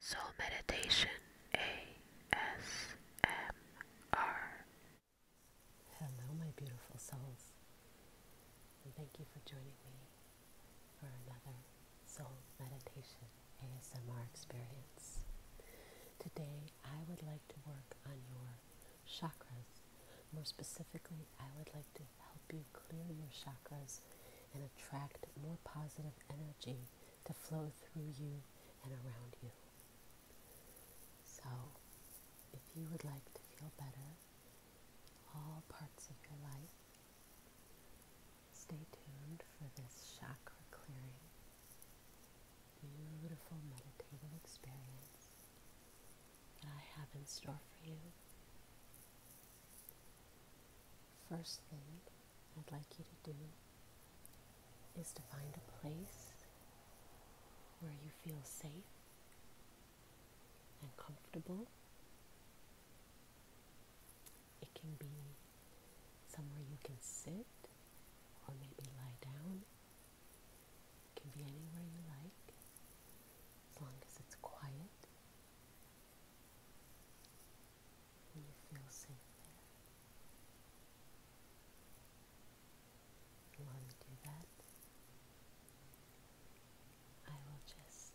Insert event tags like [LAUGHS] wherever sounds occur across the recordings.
Soul Meditation ASMR. Hello, my beautiful souls, thank you for joining me for another Soul Meditation ASMR experience. Today, I would like to work on your chakras. More specifically, I would like to help you clear your chakras and attract more positive energy to flow through you and around you. So, if you would like to feel better, all parts of your life, stay tuned for this chakra clearing, beautiful meditative experience that I have in store for you first thing I'd like you to do is to find a place where you feel safe and comfortable. It can be somewhere you can sit or maybe lie down. It can be anywhere you like as long as it's quiet you feel safe there. While you do that, I will just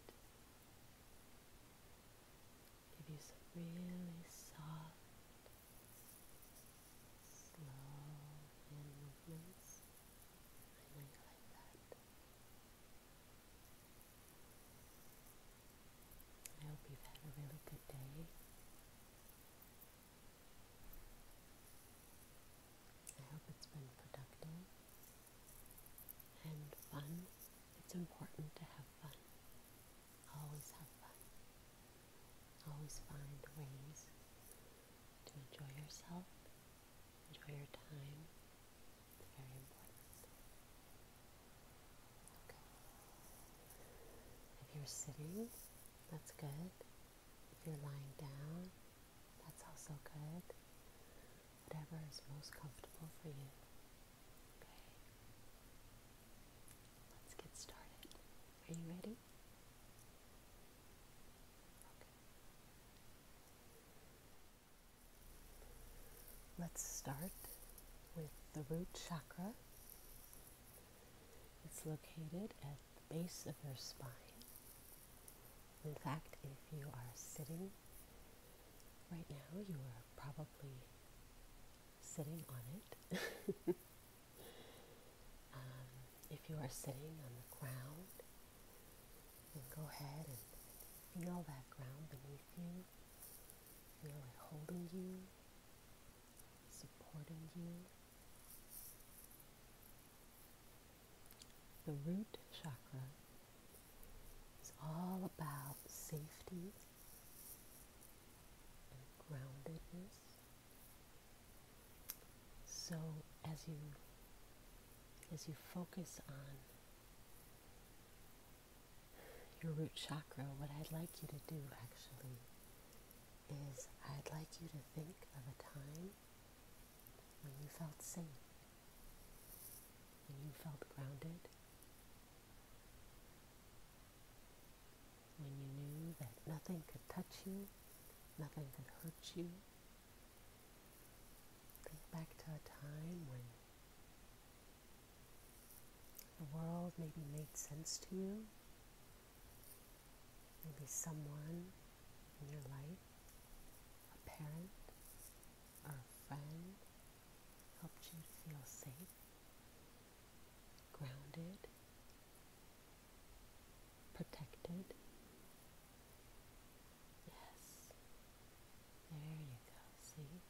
give you some really soft, slow movements. I like that. I hope you've had a really good day. I hope it's been productive and fun. It's important to have fun. Always have fun. Always find ways to enjoy yourself, enjoy your time, if you're sitting, that's good. If you're lying down, that's also good. Whatever is most comfortable for you. Okay. Let's get started. Are you ready? Let's start with the root chakra. It's located at the base of your spine. In fact, if you are sitting right now, you are probably sitting on it. [LAUGHS] Um, if you are sitting on the ground, go ahead and feel that ground beneath you you holding you, supporting you. The root chakra is all about safety and groundedness. So as you as you focus on your root chakra, what I'd like you to do actually is I'd like you to think of a time when you felt safe, when you felt grounded, when you knew that nothing could touch you, nothing could hurt you. Think back to a time when the world maybe made sense to you. Maybe someone in your life, a parent or a friend, helped you feel safe, grounded, protected. Yes. There you go. See?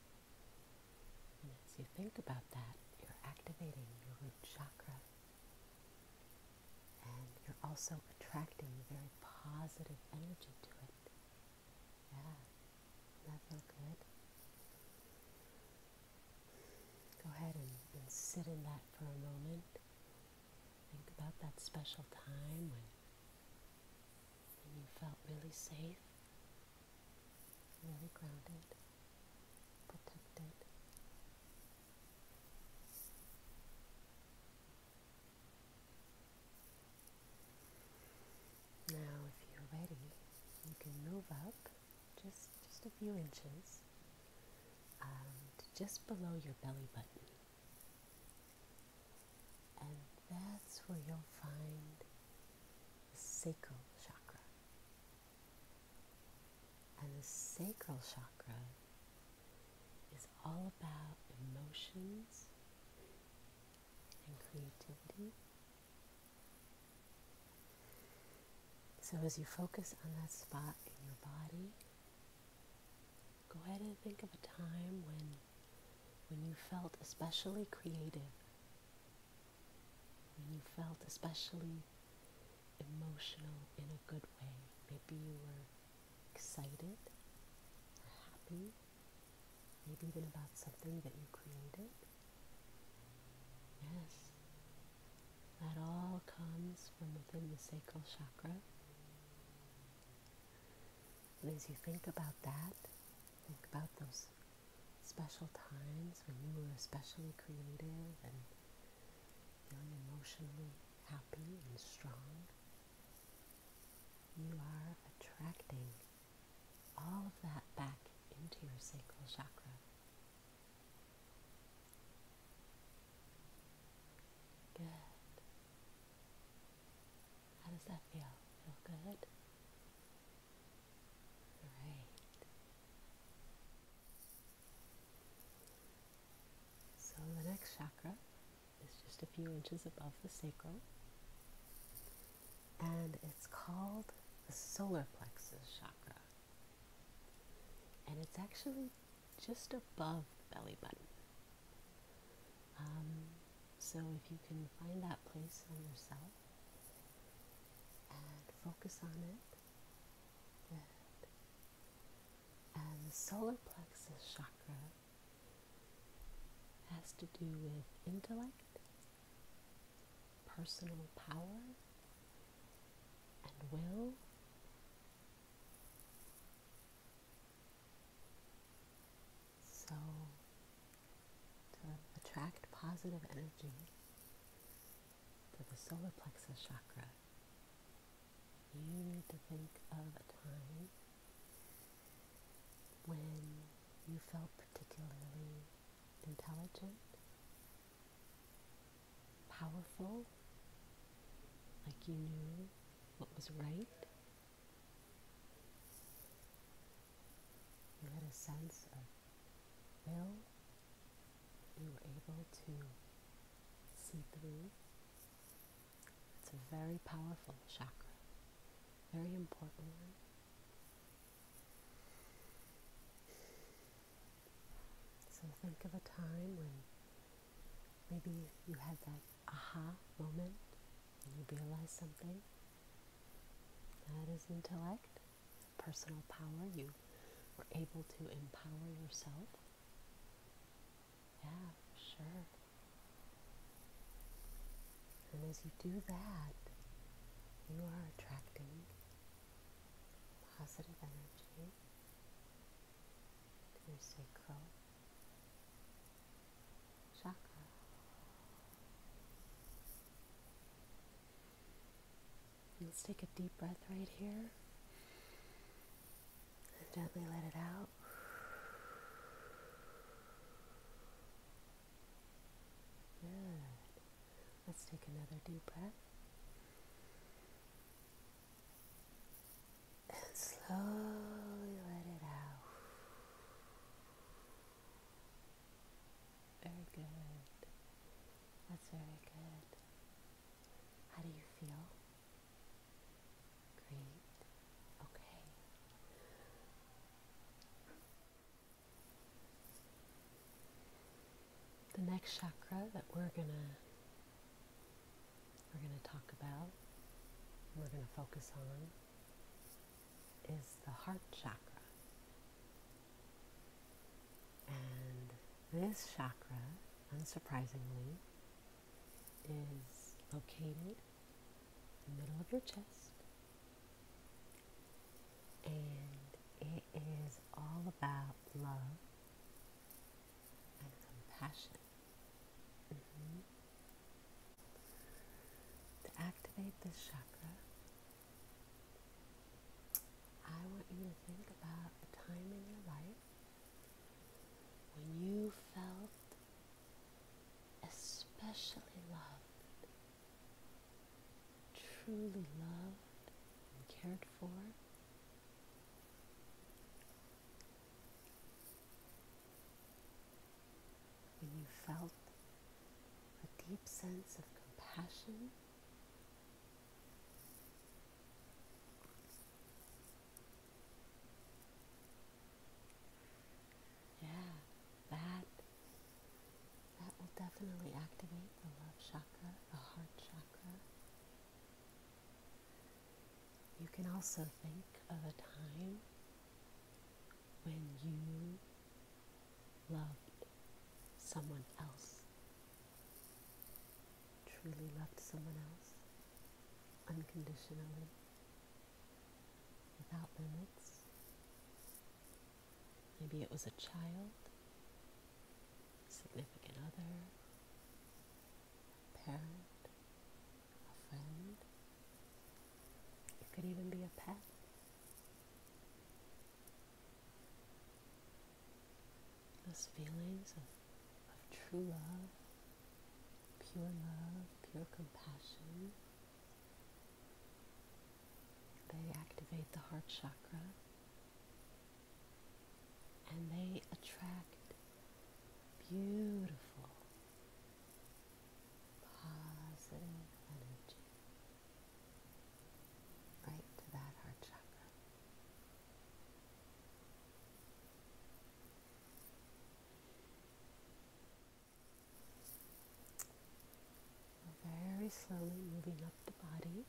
And as you think about that, you're activating your root chakra. And you're also attracting very positive energy to it. Yeah. does that feel good? Go ahead and sit in that for a moment. Think about that special time when and you felt really safe, really grounded, protected. Now, if you're ready, you can move up just just a few inches, um, just below your belly button. And that's where you'll find the sacral chakra. And the sacral chakra is all about emotions and creativity. So, as you focus on that spot in your body, go ahead and think of a time when when you felt especially creative, when you felt especially emotional in a good way. Maybe you were excited happy, maybe even about something that you created. Yes, that all comes from within the sacral chakra. And as you think about that, think about those special times when you were especially creative and feeling emotionally happy and strong. You are attracting all of that back into your sacral chakra. Good. How does that feel? Feel good? Great. So the next chakra is just a few inches above the sacrum, and it's called the solar plexus chakra. And it's actually just above belly button. Um, so, if you can find that place in yourself and focus on it, And the solar plexus chakra has to do with intellect, personal power, and will. So, to attract positive energy to the solar plexus chakra, you need to think of a time when you felt particularly intelligent, powerful, like you knew what was right you had a sense of will. You were able to see through. It's a very powerful chakra, very important one. So think of a time when maybe you had that aha moment when you realize something. That is intellect, personal power. You were able to empower yourself. Yeah, sure. And as you do that, you are attracting positive energy through sacral chakra. Let's take a deep breath right here and gently let it out. Good. Let's take another deep breath and slowly let it out. Very good. That's very good. How do you feel? Great. Okay. The next chakra that we're going to we're going to talk about, we're going to focus on, is the heart chakra. And this chakra, unsurprisingly, is located in the middle of your chest. And it is all about love and compassion. Mm-hmm. To activate this chakra, I want you to think about a time in your life when you felt especially loved, truly loved and cared for when you felt a deep sense of compassion yeah that that will definitely activate the love chakra the heart chakra you can also think of a time when you loved someone else, truly loved someone else unconditionally, without limits. Maybe it was a child, significant other, parent, a friend. It could even be a pet. Those feelings of, of true love, pure love, pure compassion, they activate the heart chakra and they attract beautiful positive energy right to that heart chakra. Very slowly moving up the body.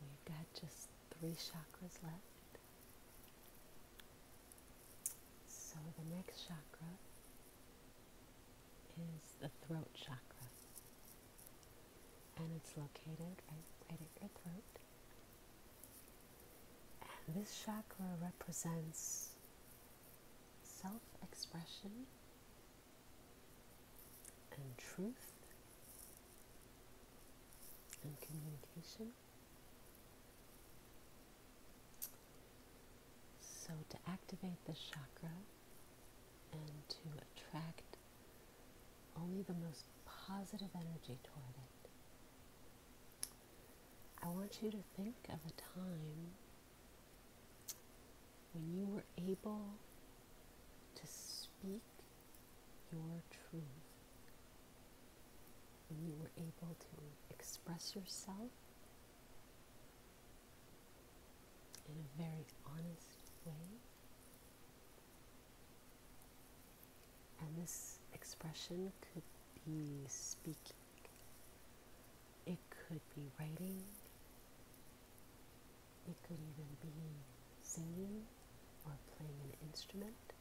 We've got just three chakras left. So the next chakra is the throat chakra, and it's located right, right at your throat. And this chakra represents self expression and truth and communication. So, to activate the chakra and to attract only the most positive energy toward it, I want you to think of a time when you were able to speak your truth. And you were able to express yourself in a very honest way. And this expression could be speaking, it could be writing, it could even be singing or playing an instrument.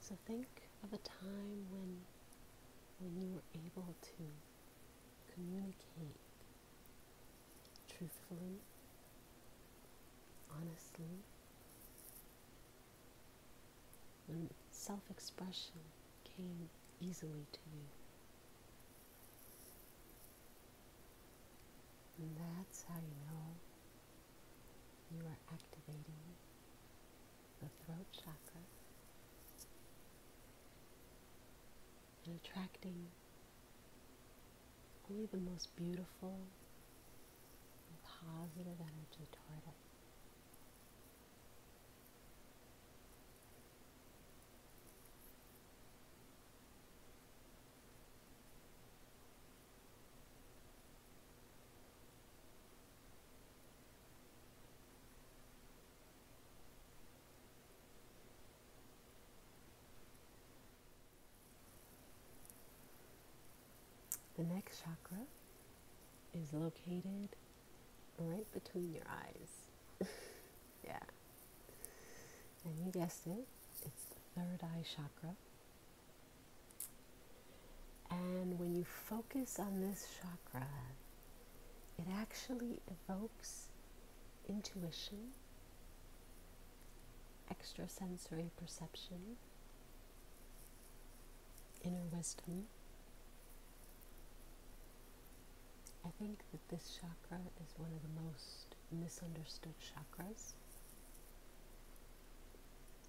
So think of a time when when you were able to communicate truthfully, honestly, when self-expression came easily to you that's how you know you are activating the throat chakra and attracting only the most beautiful and positive energy toward it. The next chakra is located right between your eyes. [LAUGHS] yeah. And you guessed it, it's the third eye chakra. And when you focus on this chakra, it actually evokes intuition, extrasensory perception, inner wisdom. I think that this chakra is one of the most misunderstood chakras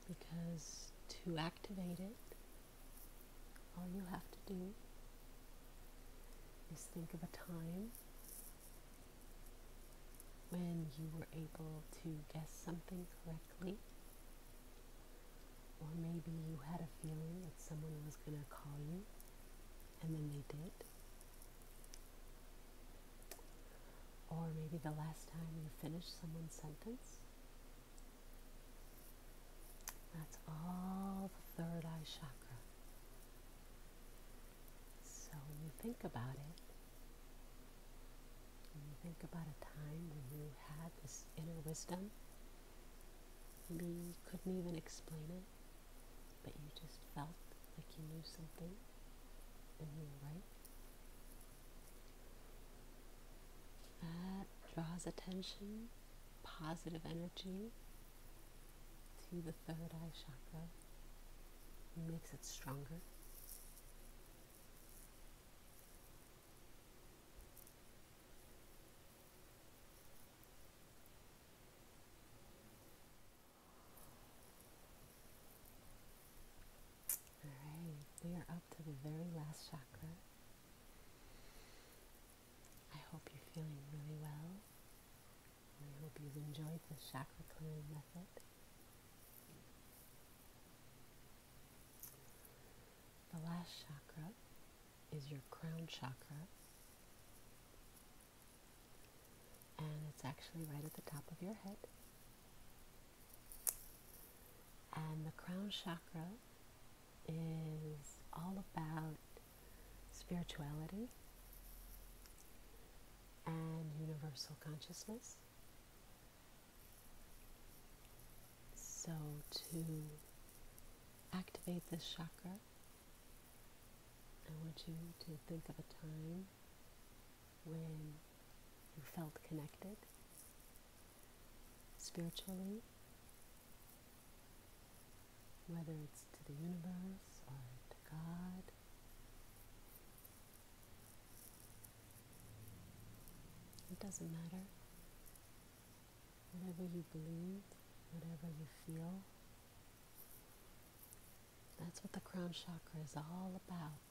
because to activate it, all you have to do is think of a time when you were able to guess something correctly, or maybe you had a feeling that someone was going to call you and then they did, or maybe the last time you finished someone's sentence. That's all the third eye chakra. So when you think about it, when you think about a time when you had this inner wisdom, maybe you couldn't even explain it, but you just felt like you knew something and you were right. That draws attention, positive energy to the third eye chakra makes it stronger. Alright, we are up to the very last chakra. I hope you're feeling really well. I hope you've enjoyed the chakra clearing method. The last chakra is your crown chakra. And it's actually right at the top of your head. And the crown chakra is all about spirituality and universal consciousness. So, to activate this chakra, I want you to think of a time when you felt connected spiritually, whether it's to the universe or to God. It doesn't matter. Whatever you believe, whatever you feel, that's what the crown chakra is all about.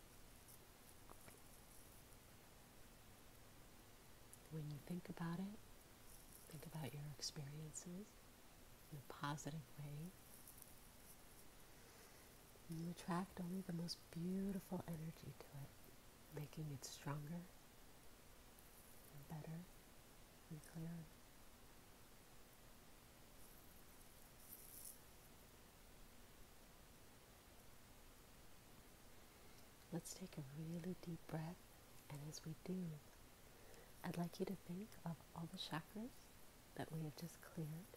When you think about it, think about your experiences in a positive way. You attract only the most beautiful energy to it, making it stronger, and better, and clearer. Let's take a really deep breath, and as we do, I'd like you to think of all the chakras that we have just cleared.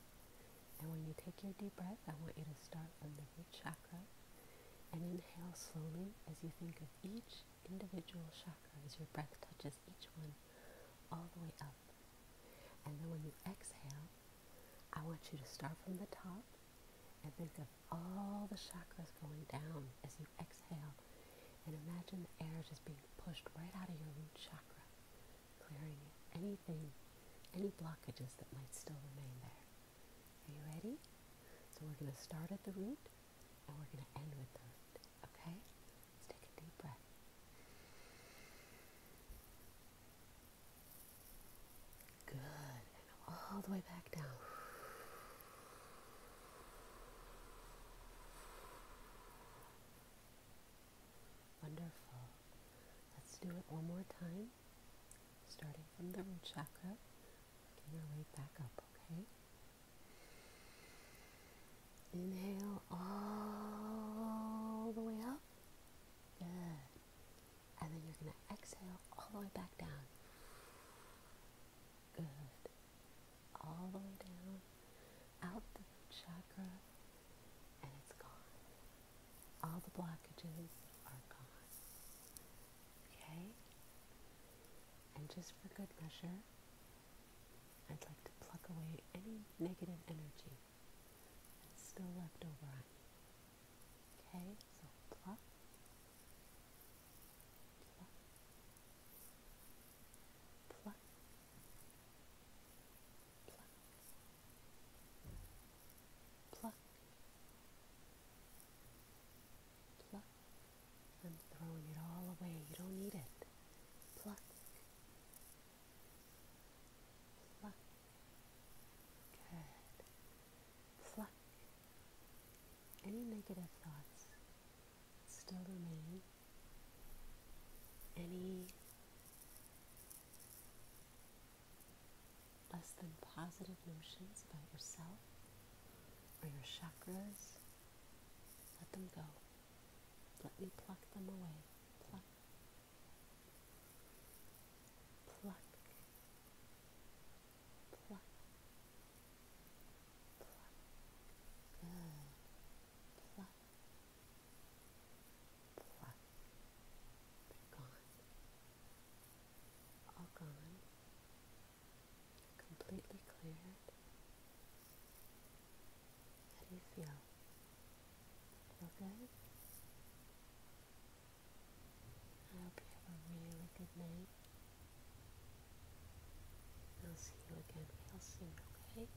And when you take your deep breath, I want you to start with the root chakra and inhale slowly as you think of each individual chakra as your breath touches each one all the way up. And then when you exhale, I want you to start from the top and think of all the chakras going down as you exhale. And imagine the air just being pushed right out of your root chakra, clearing anything, any blockages that might still remain there. Are you ready? So we're going to start at the root and we're going to end with that. Okay? Let's take a deep breath. Good. And all the way back down. Wonderful. Let's do it one more time. Starting from the root chakra, working our way back up, okay? Inhale all the way up. Good. And then you're going to exhale all the way back down. Good. All the way down. Out the chakra. And it's gone. All the blockages are gone. Okay? And just for good measure, I'd like to pluck away any negative energy that's still left over Okay, so pluck, pluck, pluck, pluck, pluck, pluck. I'm throwing it all away. You don't need it. Pluck. Pluck. Good. Pluck. Any negative thoughts still remain. Any less than positive notions about yourself or your chakras let them go. Let me pluck them away. Pluck. Pluck. Pluck. Pluck. Pluck. Pluck. gone. All gone completely cleared? How do you feel? Feel good? I hope you have a really good night. I'll see you again real soon, okay?